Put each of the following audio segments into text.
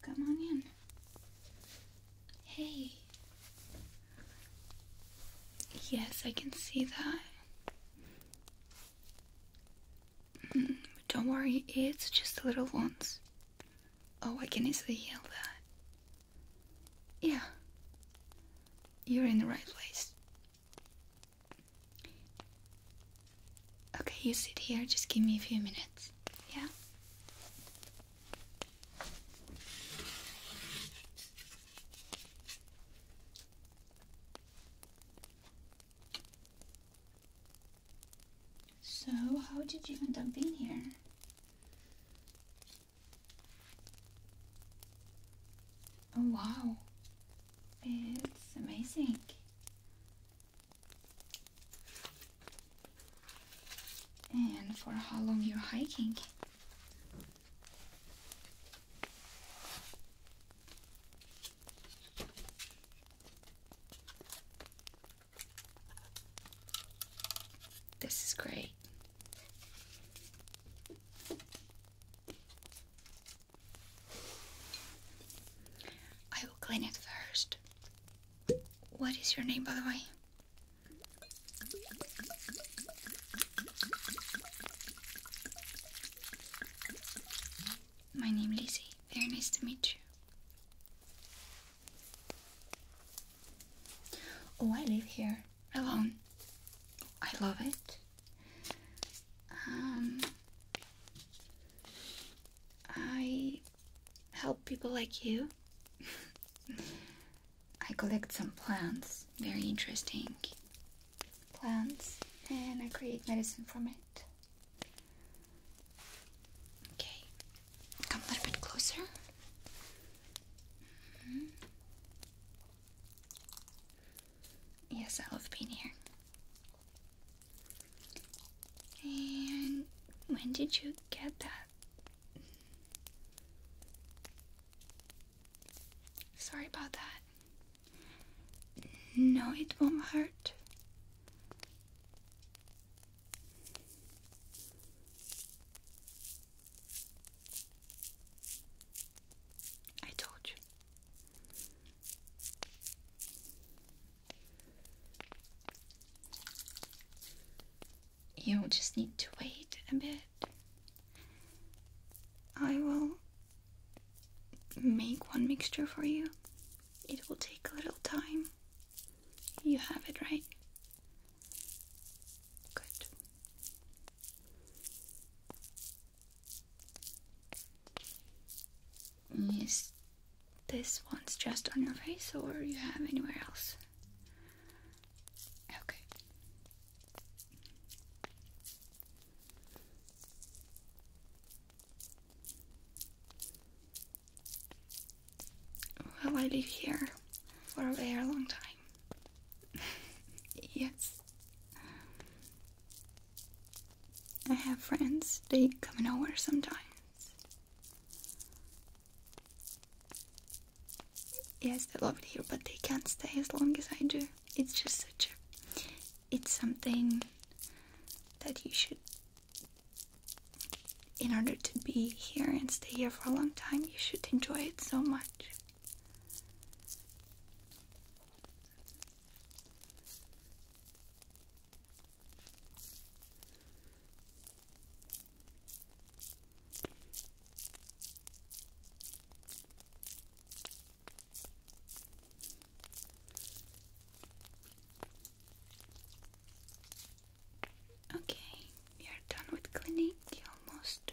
Come on in. Hey. Yes, I can see that. Mm, don't worry, it's just little ones. Oh, I can easily heal that. Yeah. You're in the right place. Okay, you sit here, just give me a few minutes. Yeah? So, how did you end up being here? Oh, wow. It's amazing. And for how long you're hiking? This is great. I will clean it first. What is your name, by the way? My name is Lizzie. Very nice to meet you. Oh, I live here alone. I love it. Um, I help people like you. I collect some plants, very interesting plants, and I create medicine from it. Okay, come a little bit closer. Mm-hmm. Yes, I love being here. And when did you get that? Sorry about that. No, it won't hurt. I told you. You'll just need to wait a bit. I will make one mixture for you. It will take a little time. You have it, right? Good. Yes, this one's just on your face, or you have anywhere else? Okay. Well, I live here for a very long time. yes. I have friends, they come and over sometimes. Yes, they love it here, but they can't stay as long as I do. It's just such a. It's something that you should. In order to be here and stay here for a long time, you should enjoy it so much. Okay, we are done with cleaning almost.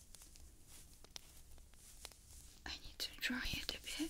I need to dry it a bit.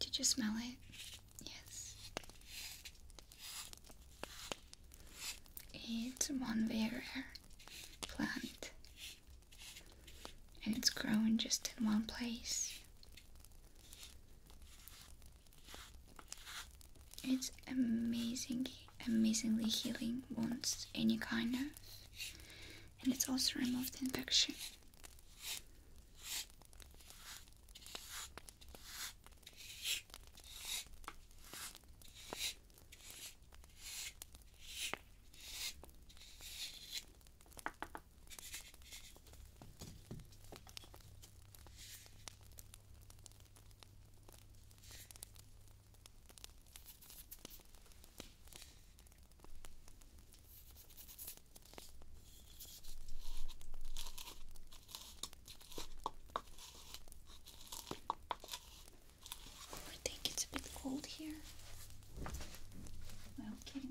Did you smell it? Yes. It's one very rare plant and it's growing just in one place. It's amazing, amazingly healing wounds, any kind of, and it's also removed infection. I think it's a bit cold here. Okay.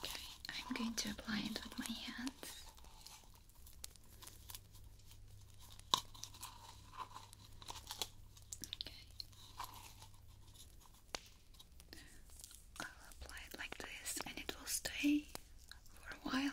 Okay, I'm going to apply it with my hands. Okay. I'll apply it like this and it will stay for a while.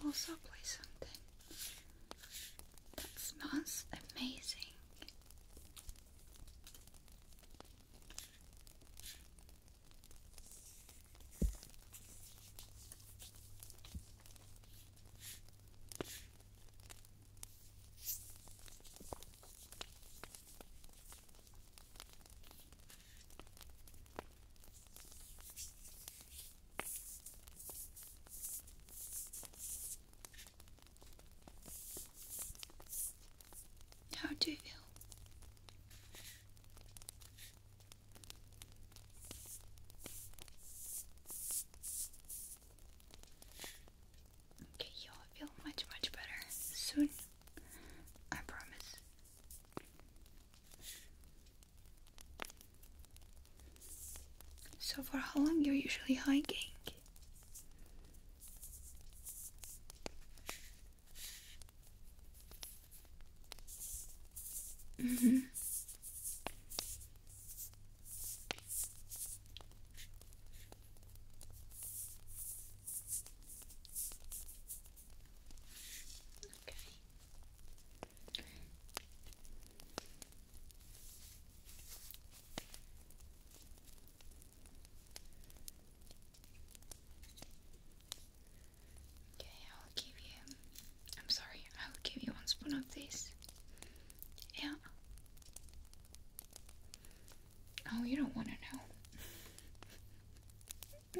I'll also play something that smells amazing. How do you feel? Okay, you'll feel much, much better soon. I promise. So for how long you're usually hiking? Mm-hmm. Okay. Okay, I'll give you. I'm sorry, I'll give you one spoon of this. Yeah. Oh, you don't want to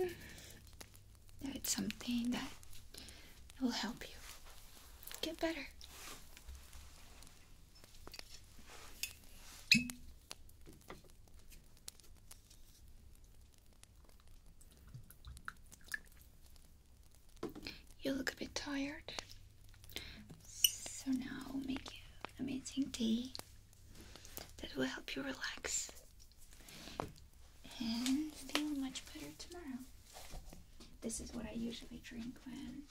know. it's something that will help you get better. You look a bit tired. So now I'll make you amazing tea that will help you relax and feel much better tomorrow. This is what I usually drink when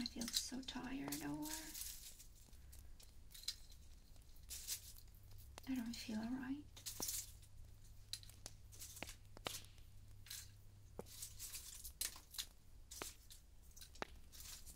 I feel so tired or I don't feel alright.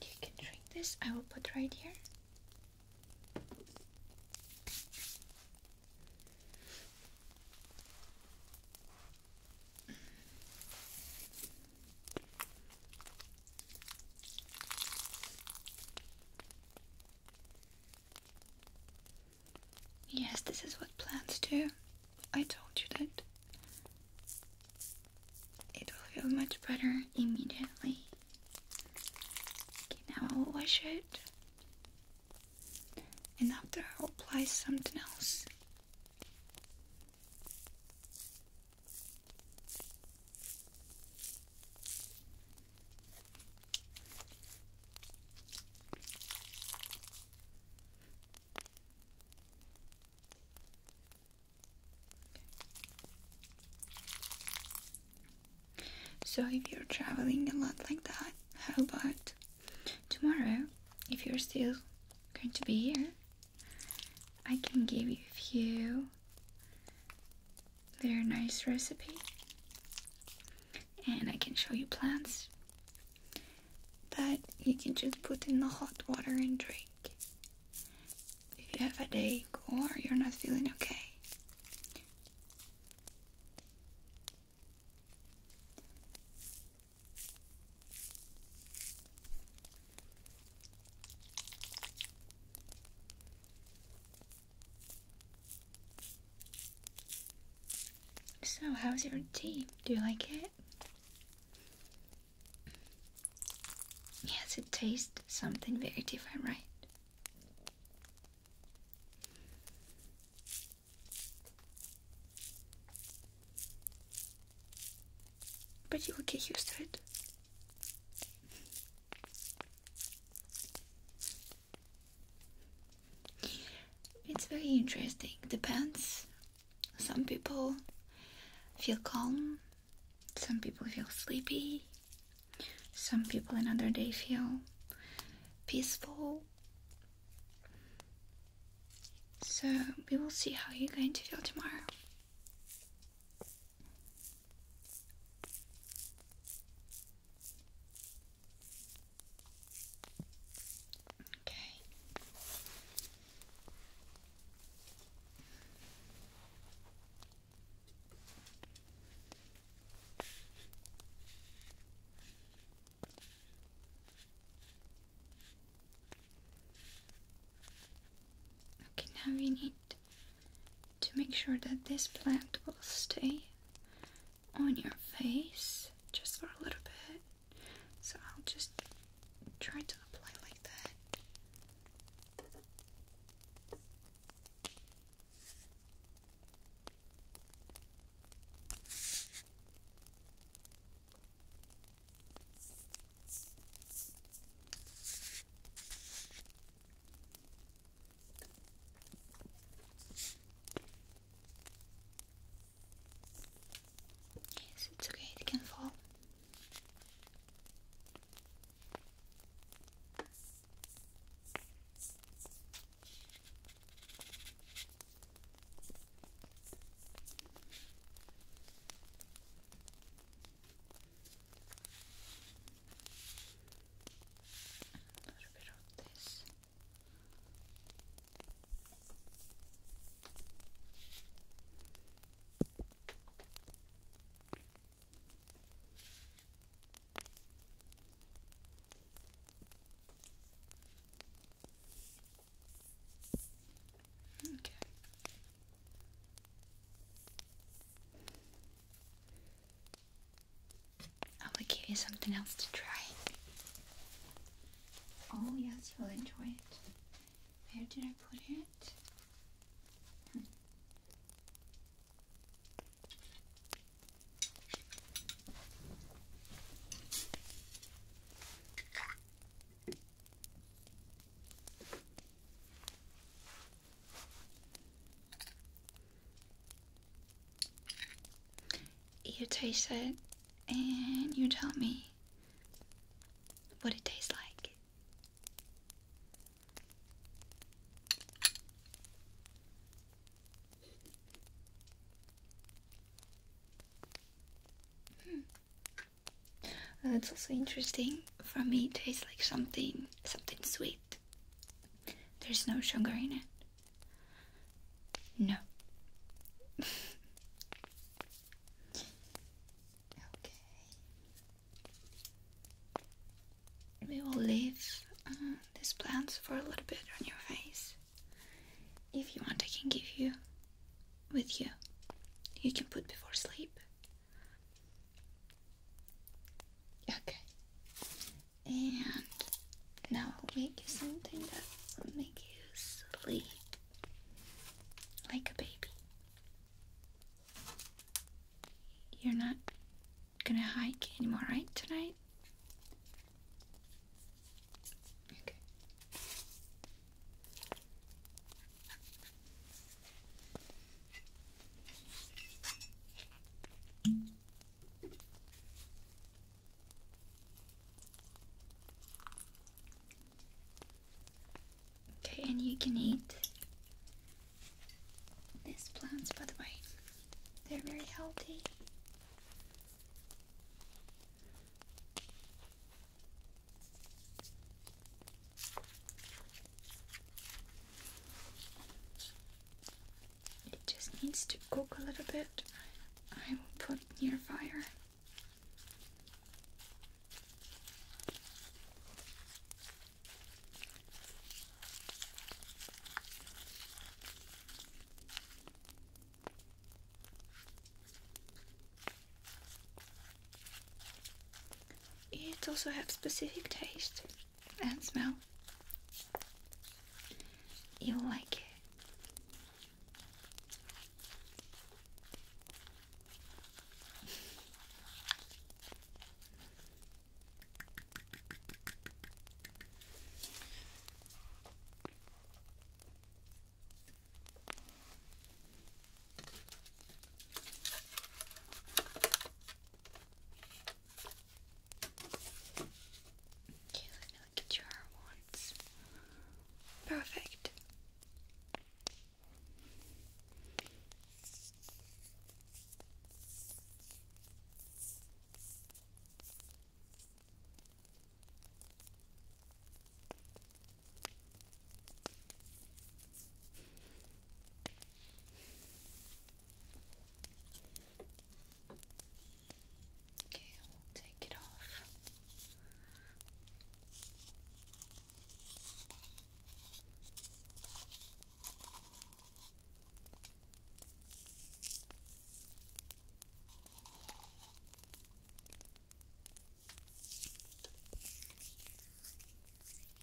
You can drink this. I will put right here. Yes, this is what plants do. I told you that. It will feel much better immediately. Okay, now I will wash it. And after I'll apply something else. So, if you're traveling a lot like that, how about tomorrow, if you're still going to be here, I can give you a few their nice recipe and I can show you plants that you can just put in the hot water and drink. If you have a day or you're not feeling okay. So, how's your tea? Do you like it? Yes, it tastes something very different, right? But you will get used to it. It's very interesting. Depends. Some people feel calm, some people feel sleepy, some people another day feel peaceful. So we will see how you're going to feel tomorrow. Okay. Okay, now we need to make sure that this plant will stay on your face just for a little bit. So I'll just try to apply like that. Yes, it's okay, it can fall. A little bit of this. Okay. I will give you something else to try. Oh, yes, you'll enjoy it. Where did I put it? Hmm. You taste it and you tell me what it tastes like. Hmm. That's also interesting for me tastes like something something sweet. There's no sugar in it. No. okay. We will leave uh, these plants for a little bit on your face. If you want, I can give you with you. You can put before sleep. Okay. And now I'll make you something that will make you sleep like a baby. You're not gonna hike anymore, right? Tonight? Okay, and you can eat these plants, by the way, they're very healthy. It just needs to cook a little bit. I will put near fire. It also has specific taste and smell. You'll like it. Okay, let me look at your once. Perfect. Okay, we'll take it off.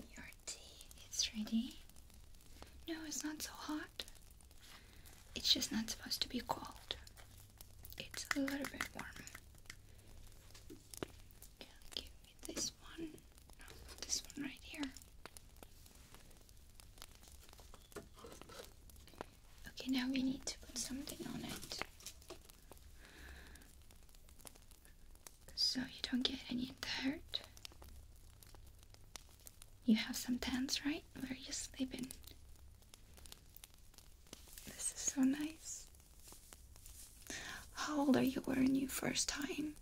Okay. Your tea is ready. No, it's not so hot. It's just not supposed to be cold. It's a little bit warm. give me this one. this one right here. Okay, now we need to put something on it so you don't get any dirt. You have some tents, right? Where you sleep in. This is so nice. How old are you Wearing you first time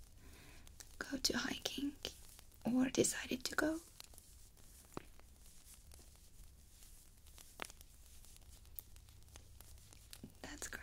go to hiking or decided to go? go. That's great.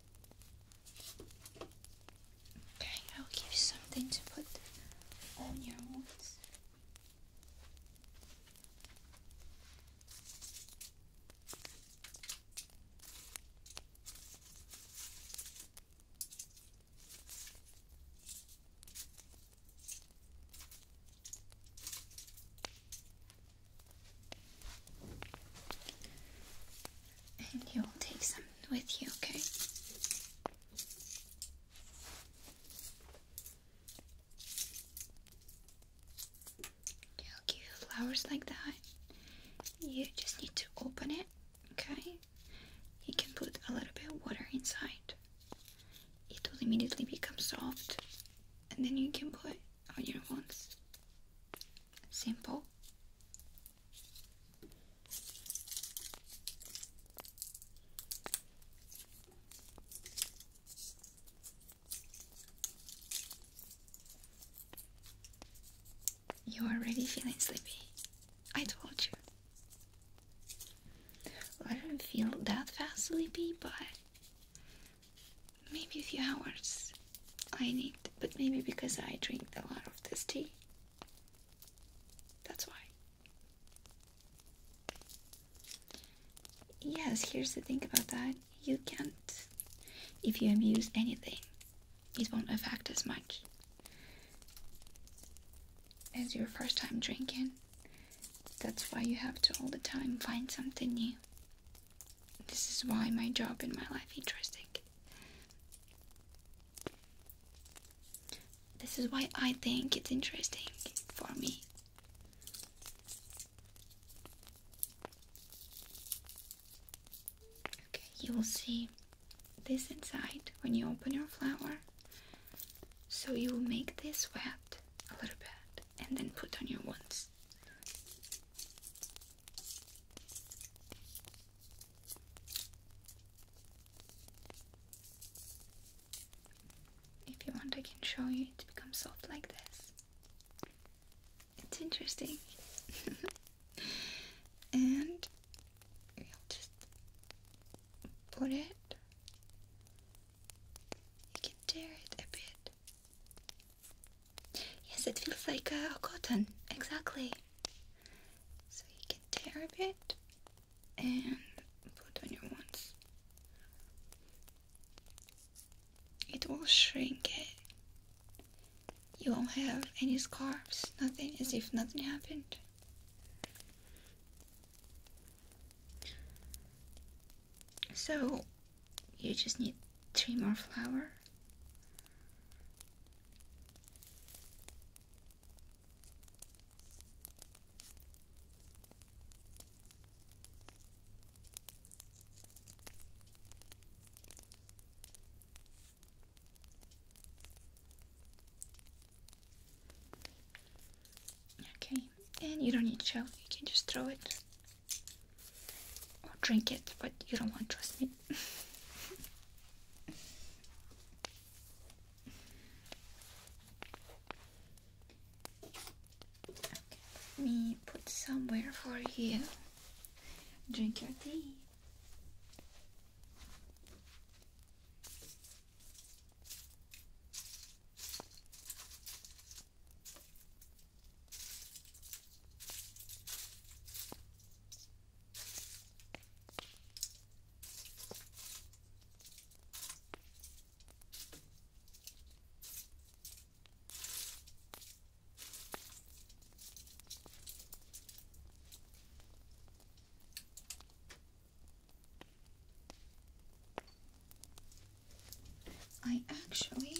Okay, I'll give you something to put on your wounds and you'll take some with you, okay? i give flowers like that. You just need to open it, okay? You can put a little bit of water inside. It will immediately become soft, and then you can put on your wands. Simple. You're already feeling sleepy. I told you. I don't feel that fast sleepy, but maybe a few hours I need, but maybe because I drink a lot of this tea. That's why. Yes, here's the thing about that. You can't. If you abuse anything, it won't affect as much as your first time drinking. That's why you have to all the time find something new. This is why my job in my life interesting. This is why I think it's interesting for me. Okay, you will see this inside when you open your flower. So you will make this wet a little bit and then put on your ones. If you want, I can show you it becomes soft like this. It's interesting. and we just put it. You can tear it a bit. Yes, it feels like uh, a cotton, exactly. So you can tear a bit and put on your ones. It will shrink it. You won't have any scars. nothing, as if nothing happened. So, you just need three more flower. Okay, and you don't need shell, you can just throw it or drink it, but you don't want, trust me, let me put somewhere for you. Drink your tea. I actually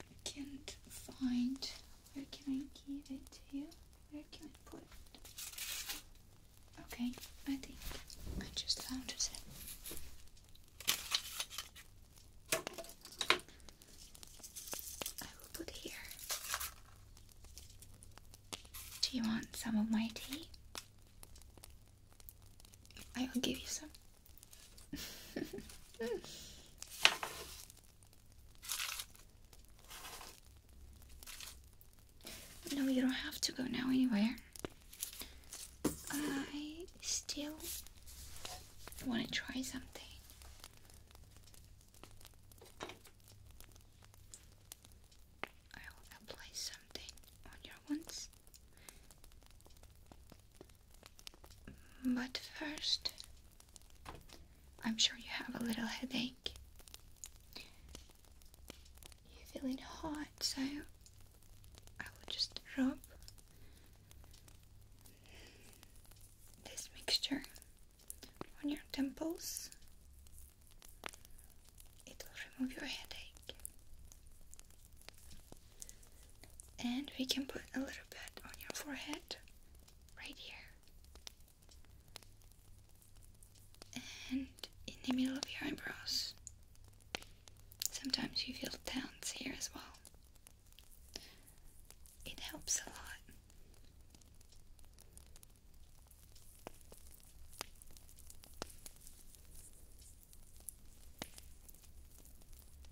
I can't find. Where can I give it to you? Where can I put it? Okay, I think I just found it. I will put it here. Do you want some of my tea? I will give you some. no, you don't have to go now anywhere. I still want to try something. I will apply something on your ones. But first, I'm sure you have a little headache. You're feeling hot, so I will just rub this mixture on your temples. It will remove your headache. And we can put a little bit on your forehead right here. And in the middle of your eyebrows. Sometimes you feel towns here as well. It helps a lot.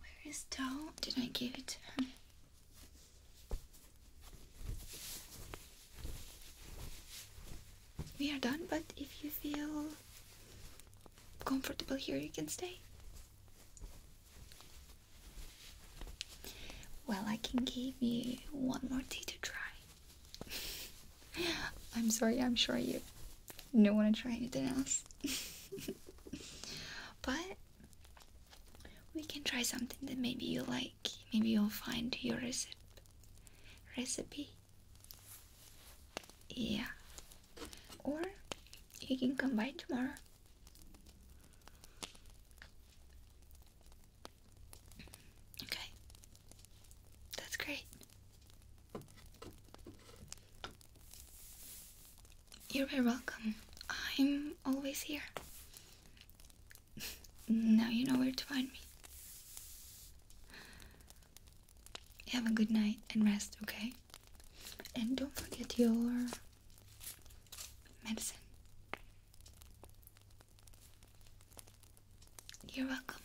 Where is towel? Did I give it to him? We are done, but if you feel comfortable here, you can stay. Well, I can give you one more tea to try. I'm sorry, I'm sure you don't want to try anything else. but we can try something that maybe you like. Maybe you'll find your recipe. Recipe? Yeah. Or you can come by tomorrow. Okay. That's great. You're very welcome. I'm always here. now you know where to find me. Have a good night and rest, okay? And don't forget your medicine. You're welcome.